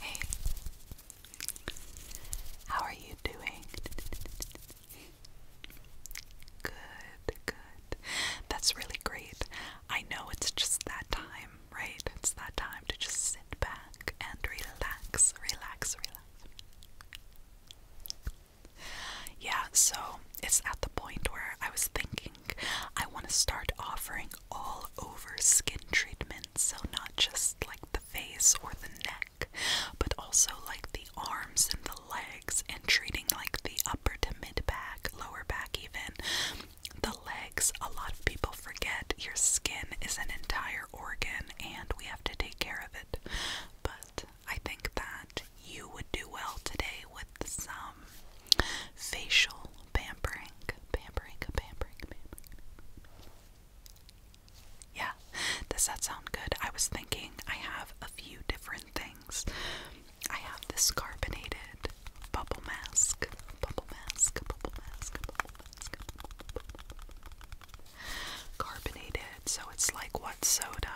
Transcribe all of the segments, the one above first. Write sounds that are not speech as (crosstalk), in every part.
Hey, how are you doing? Good, good. That's really great. I know it's just that time, right? It's that time to just sit back and relax, relax, relax. Yeah, so it's at the point where I was thinking I want to start offering all over skin treatments, so not just like the face or the neck, but also like the arms and the legs, and treating like the upper to mid back, lower back, even the legs. A lot of people forget your skin is an entire organ and we have to take care of it, but I think that you would do well today with some facial pampering, pampering, pampering, pampering. Yeah, does that sound good? I was thinking I have a few different things. I have this carbonated bubble mask, bubble mask, bubble mask, bubble mask, carbonated. So it's like what soda?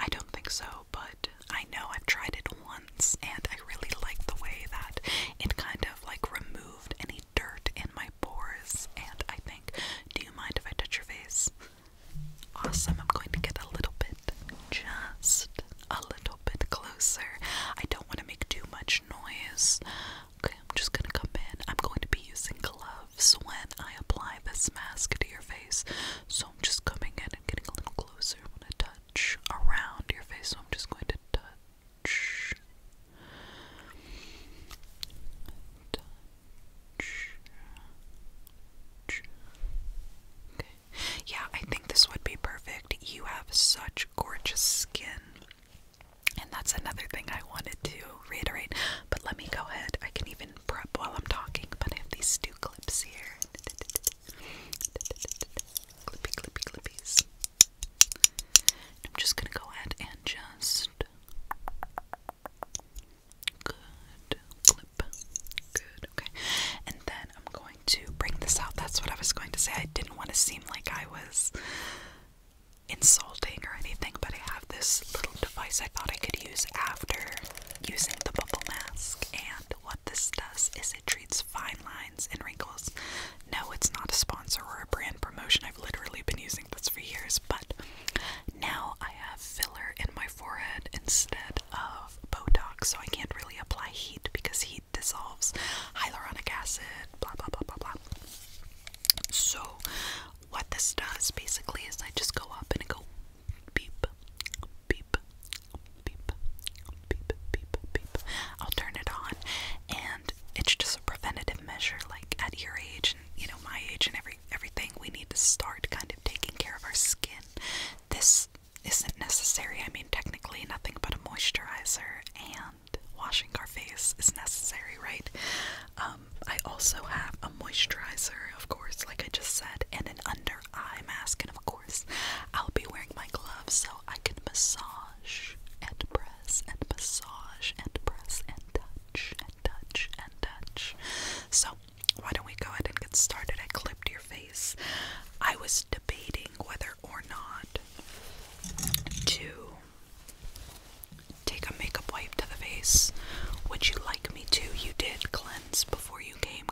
I don't think so, but I know I've tried it once and I really like the way that it kind of like removed any dirt in my pores. And I think, do you mind if I touch your face? Awesome, I'm going to get a little bit, just a little bit closer. I don't want to make too much noise. Okay, I'm just gonna come in. I'm going to be using gloves when I apply this mask to your face. So I'm just coming in and getting a little closer. I'm gonna touch around your face. So I'm just going to yeah, I think this would be perfect. You have such gorgeous skin. And that's another thing I wanted to reiterate. But let me go ahead. I can even prep while I'm talking, but I have these two clips here. Clippy, clippy, clippies. I'm just gonna go ahead and just good clip. Good, okay. And then I'm going to bring this out. That's what I was going to say. I didn't want to seem like I was insulting or anything, but I have this little device I thought I could use after using the bubble mask and what this does is it treats fine lines and wrinkles. No, it's not a sponsor or a brand promotion. I've literally been using this for years, but now I have filler in my forehead instead of Botox, so I can't really apply heat because heat dissolves hyaluronic acid, blah blah blah blah blah. So, what this does basically is I just go up and I go beep, beep, beep, beep, beep, beep. I'll turn it on, and it's just a preventative measure. Like at your age, and you know my age, and every everything, we need to start kind of taking care of our skin. This isn't necessary. I mean, technically, nothing but a moisturizer and washing our face is necessary, right? Um, I also have a moisturizer, of course, like I just said, and an under eye mask, and of course, I'll be wearing my gloves so I can massage and press and massage and press and touch and touch and touch. So, why don't we go ahead and get started? I clipped your face. I was debating whether or not to take a makeup wipe to the face. Would you like me to? You did cleanse before you came,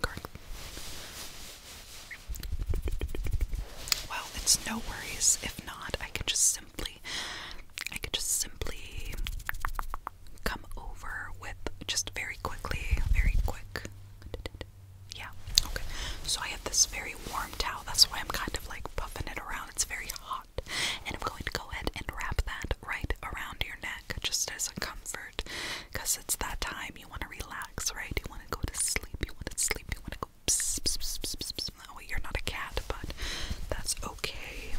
well, it's no worries. If not, I can just simply, I can just simply come over with just very quickly, very quick. Yeah. Okay. So I have this very warm towel. That's why I'm kind of like puffing it around. It's very hot, and I'm going to go ahead and wrap that right around your neck, just as a comfort, because it's that time you want to relax, right? You want to go to sleep. You want to sleep. You want to go oh you're not a cat, but that's okay.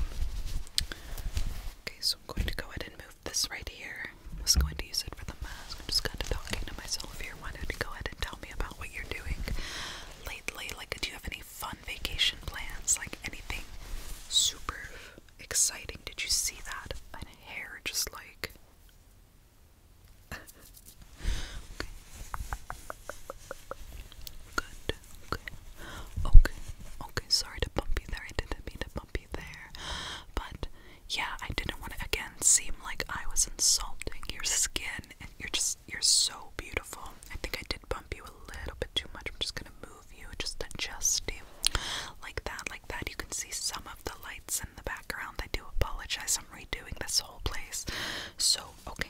Okay, so I'm going to go ahead and move this right here. I was going to use it for the mask. I'm just kind of talking to myself here. Why do go ahead and tell me about what you're doing lately? Like, do you have any fun vacation plans? Like, anything super exciting? Did you see that? My hair just like okay. Good. Okay. Okay. Okay. Sorry to bump you there. I didn't mean to bump you there. But yeah, I didn't want to again seem like I was insulting your skin and you're just you're so beautiful. I think I did bump you a little bit too much. I'm just gonna move you, just adjust you. Like that, like that. You can see some of the lights in the background. I do apologize. I'm redoing this whole place. So, okay.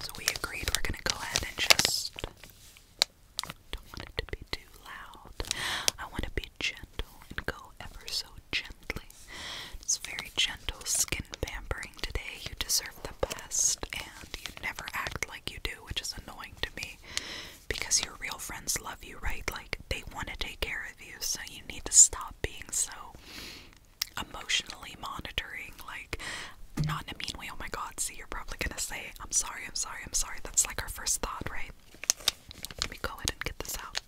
So we agreed we're gonna go ahead and just don't want it to be too loud. I want to be gentle and go ever so gently. It's very gentle skin pampering today. You deserve the best, and you never act like you do, which is annoying to me because your real friends love you, right? Like they want to take care of you, so you need to stop being so emotionally monitoring, like not in a mean way, oh my god, see you're probably gonna say, I'm sorry, I'm sorry, I'm sorry. That's like our first thought, right? Let me go ahead and get this out.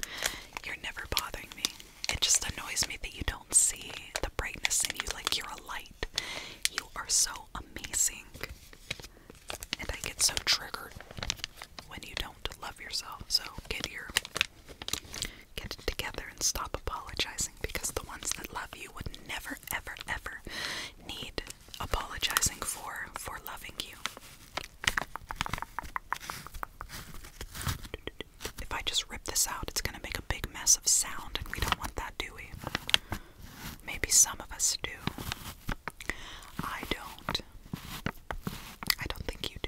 You're never bothering me. It just annoys me that you don't see the brightness in you, like you're a light. You are so amazing. And I get so triggered when you don't love yourself. So get here. Get it together and stop apologizing because the ones that love you would never, ever, ever need apologizing for for loving you. If I just rip this out, it's gonna make a big mess of sound, and we don't want that, do we? Maybe some of us do. I don't. I don't think you do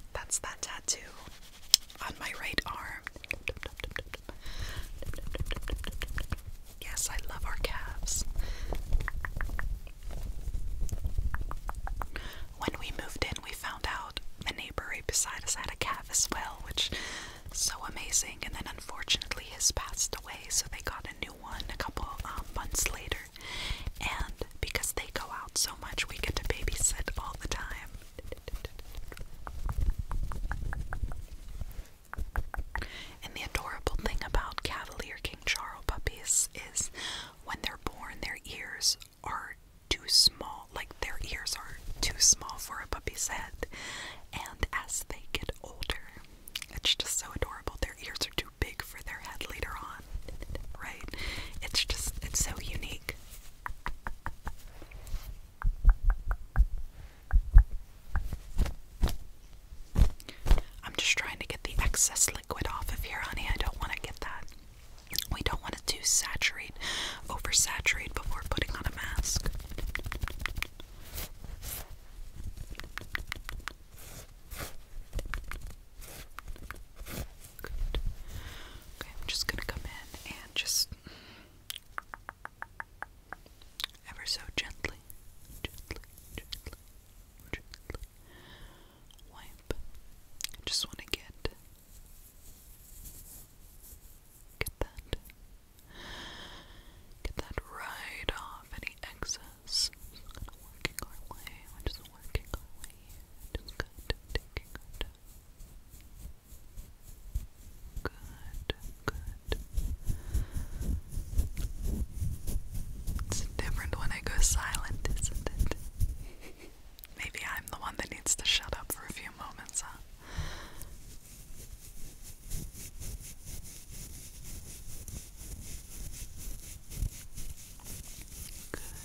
That's that tattoo on my right arm. Yes, I love our calves. When we moved in, we found out the neighbor right beside us had a calf as well, which is so amazing. And then unfortunately, has passed away, so they got a new one a couple um, months later. And because they go out so much, we get to babysit all the time. And the adorable thing about Cavalier King Charles puppies is when they're born, their ears are too small, like their ears are too small for a puppy's head. And as they get older, it's just so adorable. Their ears are big for their head later on, right? It's just, it's so unique. I'm just trying to get the excess liquid off of here, honey. I don't want to get that. We don't want to do saturate, oversaturate before putting on a mask. Okay, I'm just gonna come in and just ever so gently, gently, gently, gently wipe. just want to get get that get that right off any excess. working our way. We're just working our way Good, good. It's different when I go silent, isn't it? Maybe I'm the one that needs to shut up for a few moments, huh? Good,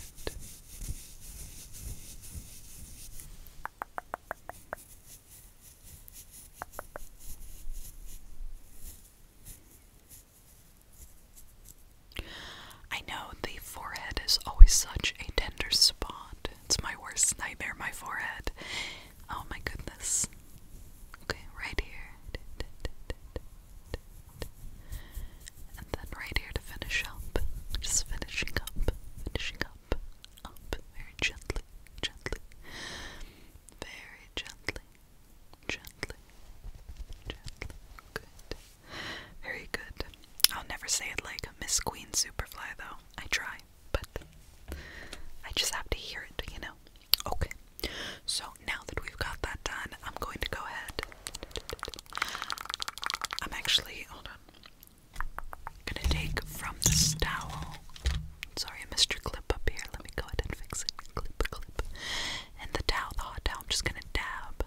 I know the forehead is always such a tender spot. It's my worst nightmare, my forehead. Oh my goodness. Okay, right here. And then right here to finish up, just finishing up, finishing up, up, very gently, gently, very gently, gently, gently, good, very good. I'll never say it like Miss Queen Superfly though, I try, but I just have to hear it, you know? Okay, so now that we've got that done, I'm going to go ahead I'm actually, hold on. Gonna take from this towel. Sorry, I missed your clip up here. Let me go ahead and fix it. Clip, clip. And the towel, the hot towel, I'm just gonna dab.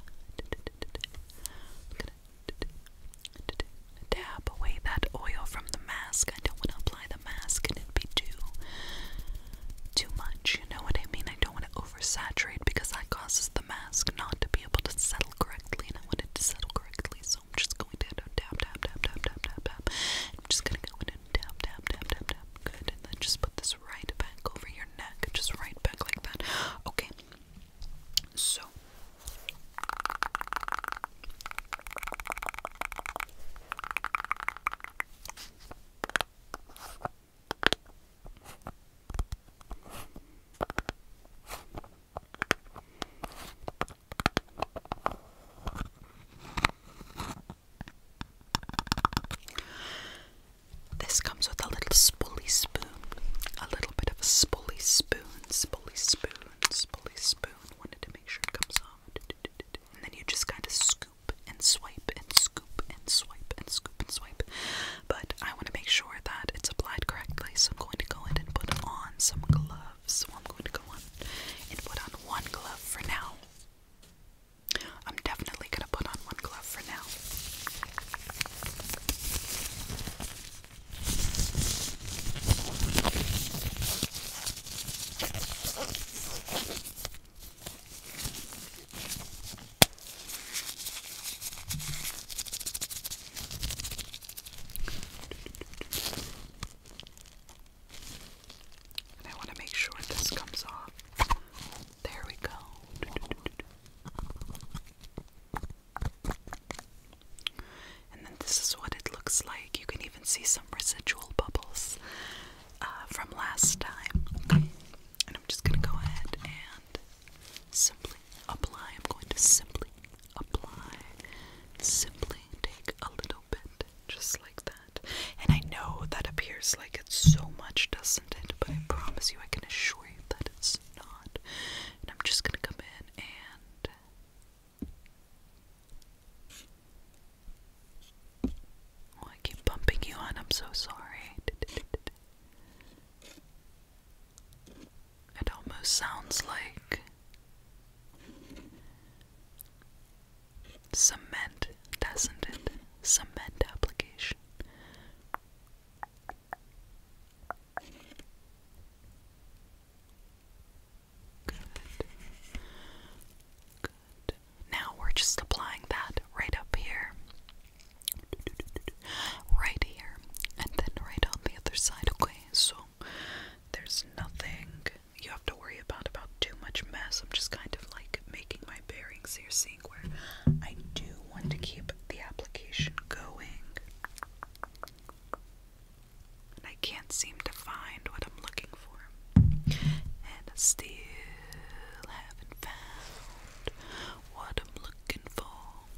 dab away that oil from the mask. I don't wanna apply the mask and it be too too much, you know what I mean? I don't want to oversaturate because that causes the mask not to be able to settle correctly, and I want it to settle correctly, so I'm just going to tap, tap, tap, tap, tap, tap, tap. I'm just gonna go in and tap, tap, tap, tap, tap. Good, and then just put this right back over your neck, just right back like that. Okay, so. This comes with a little spoolie spoon, a little bit of a spoolie spoon, spoolie spoon, spoolie spoon. Wanted to make sure it comes off. And then you just kind of scoop and swipe and scoop and swipe and scoop and swipe. But I want to make sure that it's applied correctly, so I'm going to go in and put on some gloves. So I'm going to go on and put on one glove for now. I'm definitely going to put on one glove for now. And I want to make sure this comes off. There we go. And then this is what it looks like. You can even see some residual bubbles uh, from last time. And I'm just going to go ahead simply apply. I'm going to simply apply. Simply take a little bit, just like that. And I know that appears like it's so much, doesn't it? But I promise you, I can assure you that it's not. And I'm just gonna come in and. Oh, I keep bumping you on. I'm so sorry. (laughs) It almost sounds like cement, doesn't it? Cement application. Good. Good. Now we're just applying that right up here right here and then right on the other side, okay? So there's nothing you have to worry about about too much mess. I'm just kind of like making my bearings here, seeing where I do want to keep the application going. I can't seem to find what I'm looking for. And still haven't found what I'm looking for.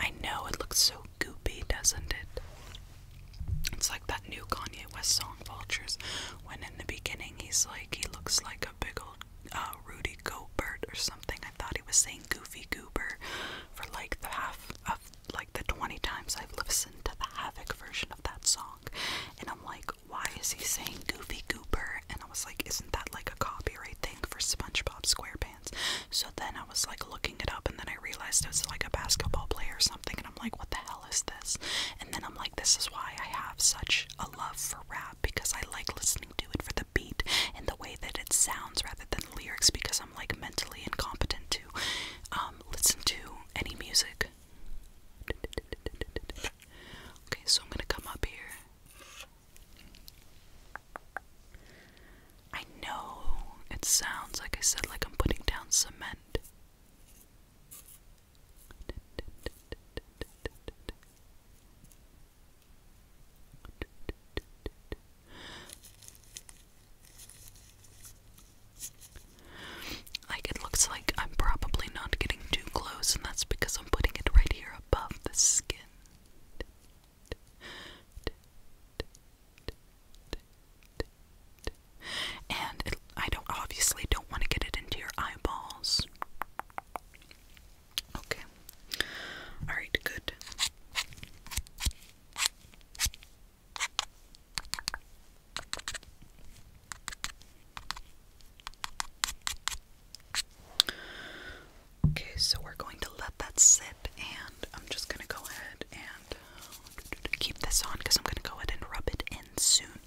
I know it looks so goopy, doesn't it? It's like that new Kanye West song, Vultures, when in the beginning he's like, he looks like a big old uh, Rudy Gobert or something. I thought he was saying Goofy Goober for like the half of like the 20 times I've listened to the Havoc version of that song, and I'm like, why is he saying Goofy Goober? And I was like, isn't that like a copyright thing for SpongeBob SquarePants? So then I was like looking it up, and then I realized it was like a basketball player or something, and I'm like, what the hell is this? And then I'm like, this is why I have such a love for rap because I like listening to it for the beat and the way that it sounds rather than the lyrics because like mentally incompetent to um, listen to any music. Okay, so I'm gonna come up here. I know it sounds like I said, like I'm putting down cement. Like, it looks like I'm probably not getting too close, and that's because I'm putting it right here above the skin. And I don't obviously don't want to get it into your eyeballs. Okay. All right, good. Okay, so we're going to let that sit, and I'm just going to go ahead and uh, keep this on because I'm going to go ahead and rub it in soon.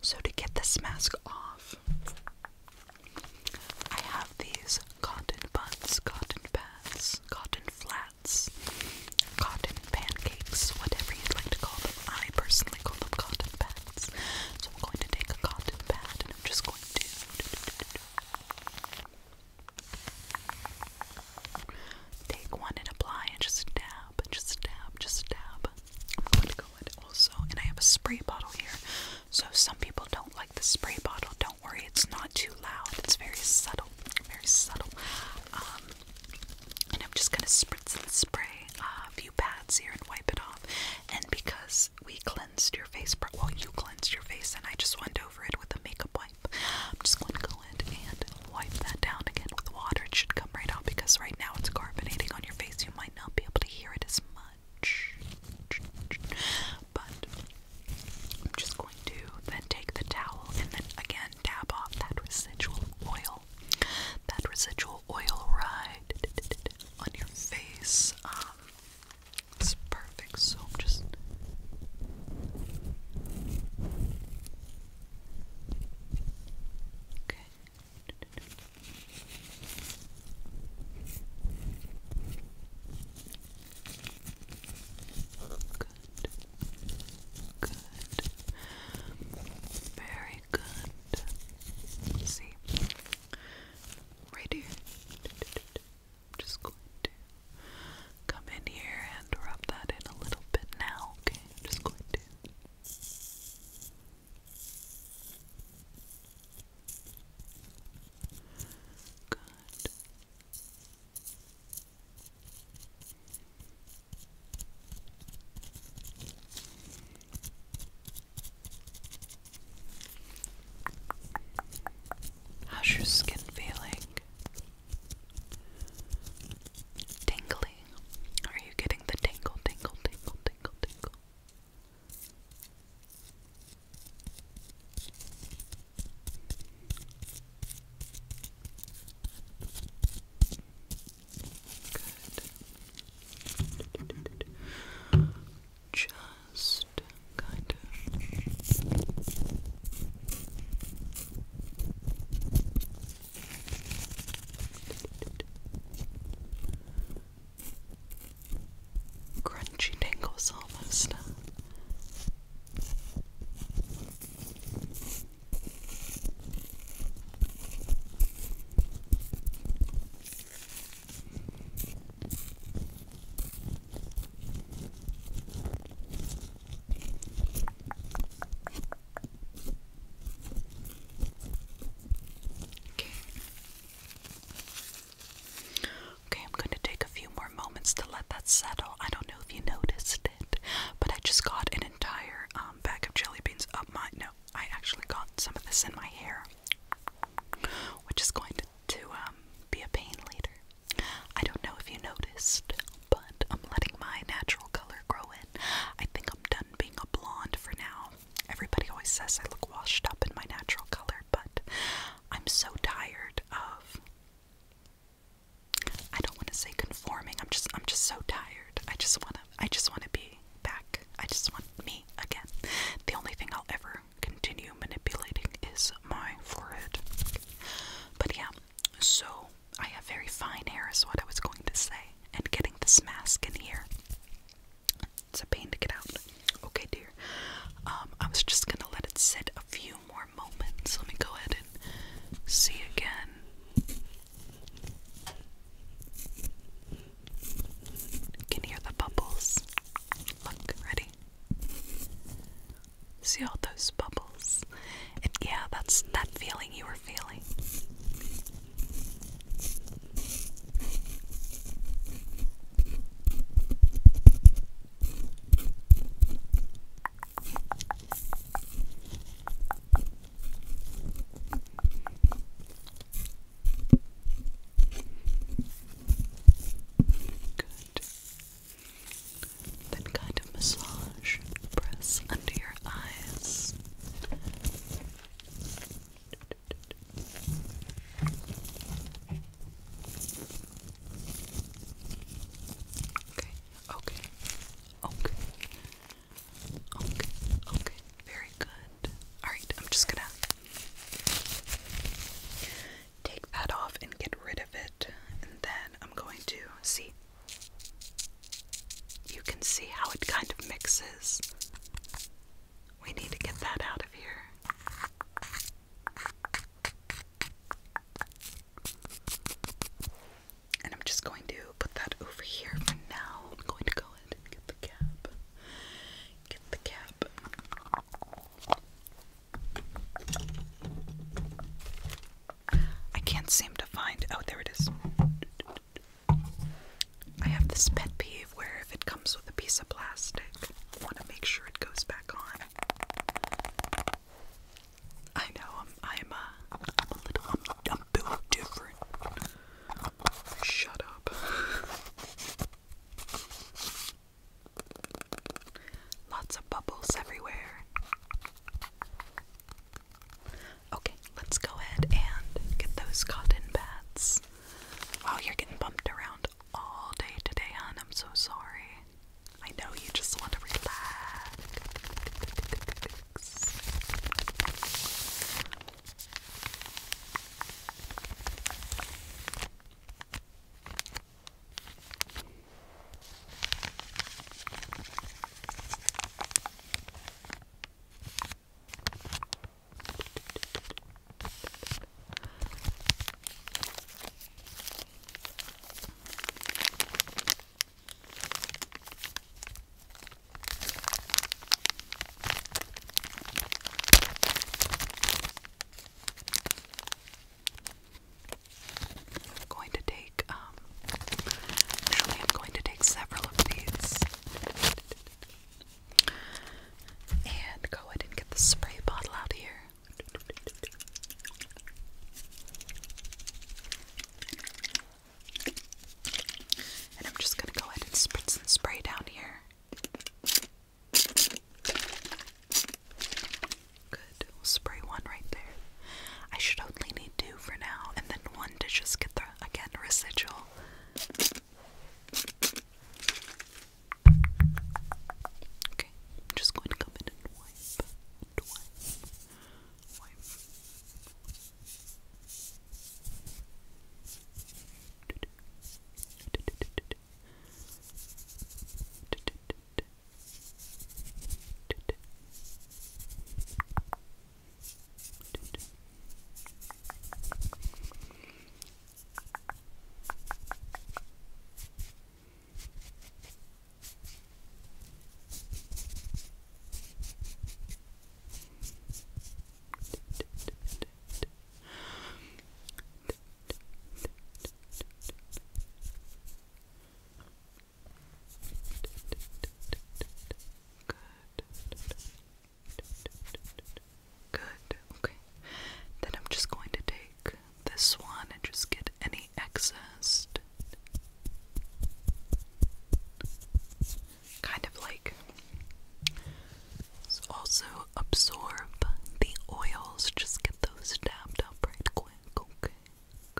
So, to get this mask off, I have these cotton buds, cotton pads, cotton flash flats, cotton pancakes, whatever you'd like to call them. I personally call them cotton pads. So I'm going to take a cotton pad and I'm just going to take one and apply and just dab, just dab, just dab. I'm going to go in also, and I have a spray bottle here. So some people don't like the spray bottle, don't worry, it's not too loud. It's very subtle, very subtle. Um, and I'm just gonna spritz and spray a few pads here and wipe it off. And because we cleansed your face, well, you cleansed your face, and I just went over it with a makeup wipe. I'm just gonna go in and wipe that down again with water. It should come right off because right now it's carbonating on your face. You might not be able to hear it as much. But I'm just going to then take the towel and then again dab off that residual oil. That residual oil right on your face. Um, it's perfect. So just. Okay. Good. Very good. see. Right here. I'm just going to come in here and rub that in a little bit now, okay? I'm just going to. Good. How's your skin feeling? Tingling. Are you getting the tingle, tingle, tingle, tingle, tingle? Just kind of. Crunchy tingles almost. Okay, I'm going to take a few more moments to let that settle. I don't know if you noticed it, but I just got an entire um, bag of jelly beans up my. No, I actually got some of this in my hair, which is going to, um, be a pain later. I don't know if you noticed, but I'm letting my natural color grow in. I think I'm done being a blonde for now. Everybody always says I look washed up in my natural color, but I'm so tired of I don't want to say conforming. I'm just I'm just so tired. I just want to I just want to be back. I just want me again. The only thing I'll ever continue manipulating is my forehead. But yeah, so I have very fine hair is what I was going to say. And getting this mask in here. It's a pain to get out. Okay, dear. Um, I was just gonna let it sit a few more moments. Let me go ahead and see again. You can hear the bubbles. Look, ready? See all those bubbles? And yeah, that's that feeling you were feeling. Good. Then kind of massage, press under your eyes. Okay. Okay. Okay. Okay. Okay. Very good. Alright, I'm just gonna take that off and get rid of it. And then I'm going to see. You can see how it kind of mixes. We need to get that out of here. And I'm just going to put that over here for now. I'm going to go and get the cap. Get the cap. I can't seem to find. Oh, there it is. I have this pet peeve where if it comes with a piece of plastic, I want to make sure it goes back on. I know I'm I'm am uh, a little I'm, I'm different. Shut up. (laughs) Lots of bubbles everywhere. Okay, let's go ahead and get those cotton pads. Wow, you're getting bumped around all day today, hon. I'm so sorry. I know you just want to relax. I'm going to take, um, actually, I'm going to take several of these and go ahead and get the spray bottle out here. And I'm just going to go ahead and spritz and spray down here. Good. spray one right there. I should only need two for now, and then one to just get the, again, residual. Okay, just going to come in and wipe twice. Wipe. Wipe. Good. Okay. Then I'm just going to take this one and just get any excess Kind of like also absorb the oils, just get those dabbed up right quick. Okay,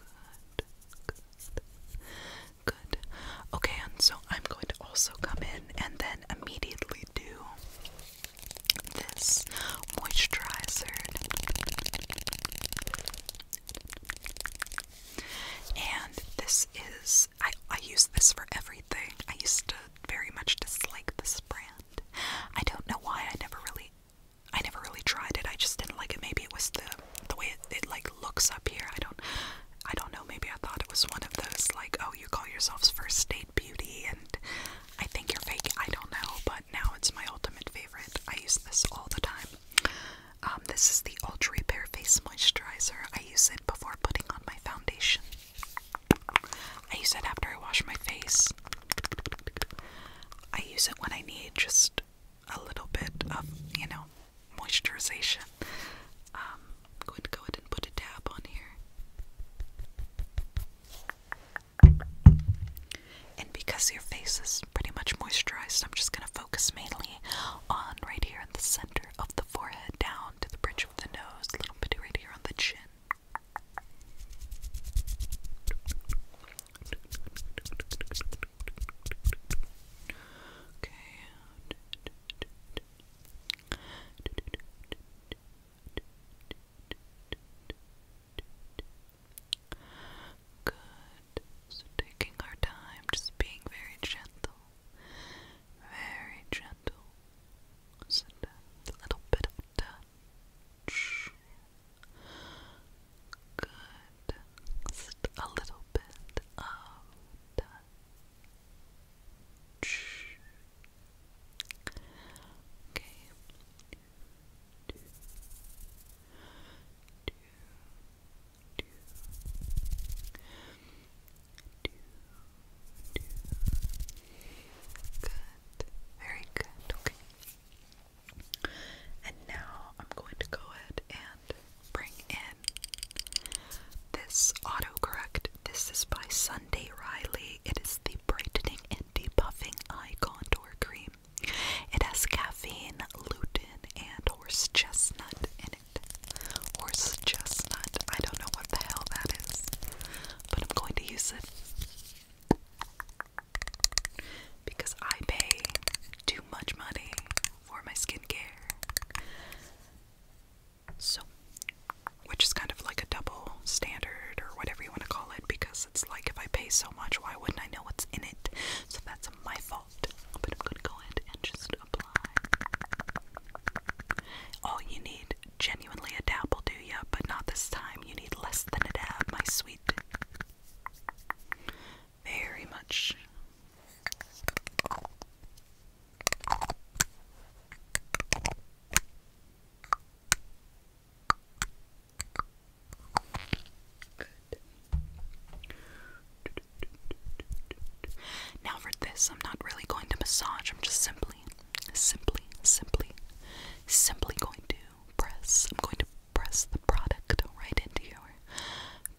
good, good. Okay, and so I'm going to also come in and then immediately do this moisturizer. And this is, I, I use this for everything. I used to very much dislike this brand. I don't know why, I never really, I never really tried it. I just didn't like it. Maybe it was the, the way it, it like looks up here. I don't, I don't know. Maybe I thought it was one of those like, oh, you call yourselves first date beauty and I think you're fake. I don't know, but now it's my ultimate favorite. I use this all the time. Um, this is the Ulta Repair Face Moisturizer. I use it before putting on my foundation. I use it after I wash my face. I use it when I need just a little bit of, you know, moisturization. I'm going to go ahead and put a dab on here. And because your face is pretty much moisturized, I'm just going to focus mainly on right here in the center of the forehead, down to the bridge of the nose, a little bit right here on the chin. Okay. Good. taking our time, just being very gentle. Very gentle. a little bit of touch. Good. a little bit of touch. Okay good, very good, okay, and now I'm going to go ahead and bring in this autocorrect, this is by Sunday Riley, it is the brightening and debuffing eye contour cream it has caffeine, lutein, and horse chestnut in it. Horse chestnut. I don't know what the hell that is, but I'm going to use it because I pay too much money for my skincare. So, which is kind of like a double standard or whatever you want to call it because it's like if I pay so much, why wouldn't I know what's in it? So that's my fault default. But I'm gonna go ahead and just apply. Oh, you need genuinely a dab will do ya? But not this time. You need less than a dab, my sweet. Very much. Now for this, I'm not really going to massage. I'm just simply, simply, simply, simply going to press. I'm going to press the product right into your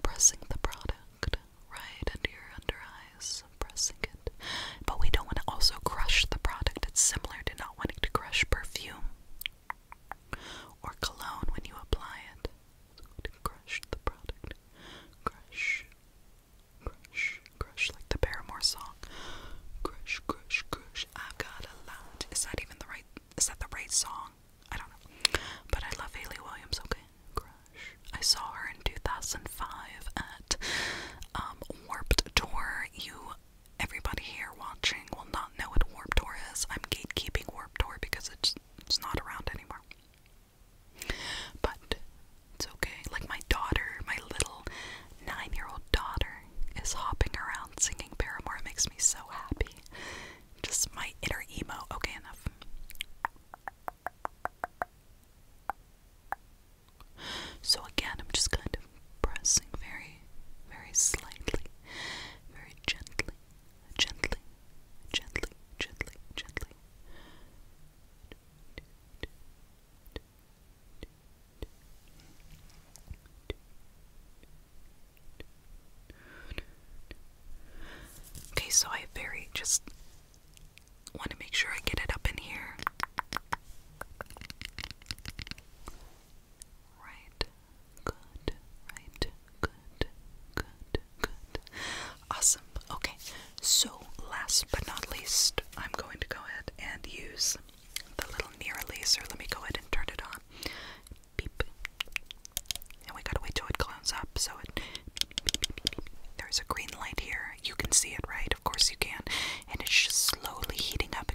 pressing the product right under your under eyes. Pressing it. But we don't want to also crush the product. It's similar to not wanting to crush perfume or cologne when you apply it crush the product. Crush. Crush. Crush like the Paramore song. Crush, crush, crush. I've got a lot. Is that even the right is that the right song? I don't know. But I love Haley Williams, okay? Crush. I saw her in 2005 at um, Warped Tour. You, everybody here watching, will not know what Warped Tour is. I'm gatekeeping Warped Tour because it's it's not around anymore. But it's okay. Like my daughter, my little nine-year-old daughter is hopping around singing Paramore. It makes me so happy. Just my inner emo. Okay, enough. So again, I'm just kind of pressing very, very slightly, very gently gently, gently, gently, gently. Okay, so I very just want to make sure I get it up in here. Right Good, right? Good, good, good. Awesome. Okay, so last but not least, I'm going to go ahead and use the little near laser. Let me go ahead and turn it on. Beep. And we gotta wait till it glows up, so it. There's a green light here. You can see it, right? Of course you can. And it's just slowly heating up.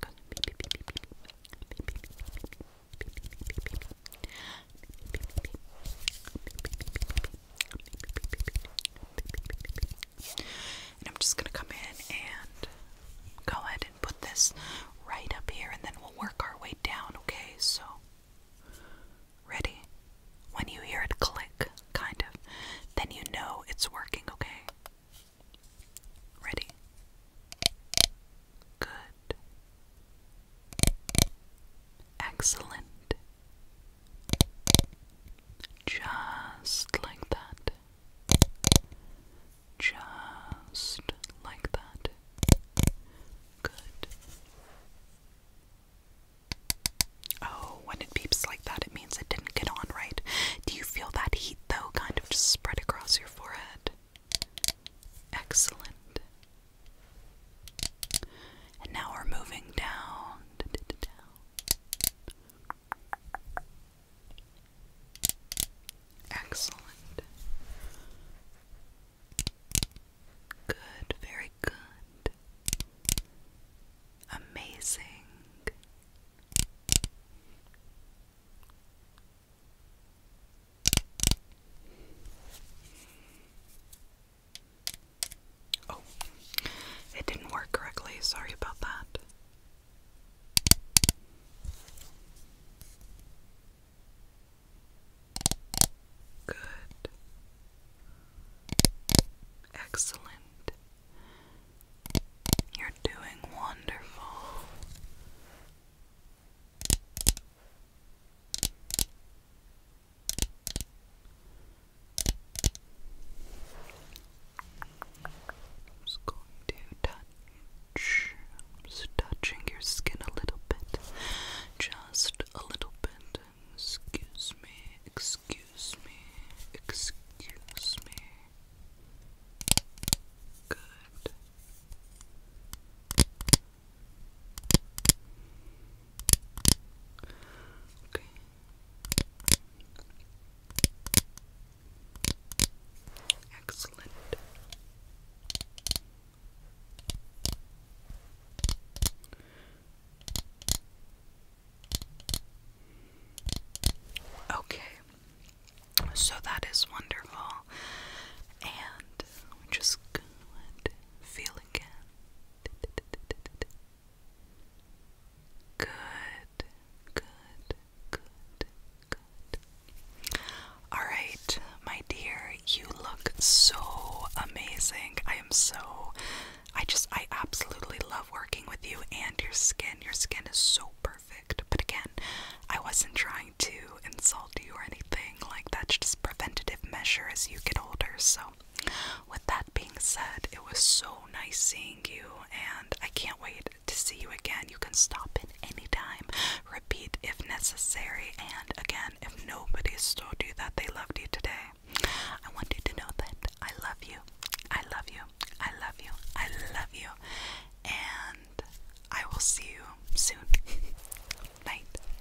And I'm just going to come in and go ahead and put this right up here, and then we'll work our way down, okay? So, ready? When you hear it click, kind of, then you know it's working, okay? Ready? Good. Excellent. Just like that. Just like that. Good. Oh, when it beeps like that, it means it didn't get on right. Do you feel that heat though, kind of just spread across your forehead? Excellent. And now we're moving down. Excellent. Good, very good. Amazing. Oh, it didn't work correctly. Sorry about that. Good. Excellent. You're doing wonderful. I'm just going to touch, I'm just touching your skin a little bit, just a little bit. Excuse me, excuse me, excuse me. Good. Okay. Excellent. Okay. So that is wonderful. And we're just going to feel again. Good, good, good, good. Alright, my dear, you look so amazing. I am so, I just, I absolutely love working with you and your skin. Your skin is so perfect. But again, I wasn't trying to insult or anything. Like, that's just preventative measure as you get older. So, with that being said, it was so nice seeing you, and I can't wait to see you again. You can stop at any time, repeat if necessary, and again, if nobody's told you that they loved you today, I want you to know that I love you. I love you. I love you. I love you. And I will see you soon. (laughs) Night.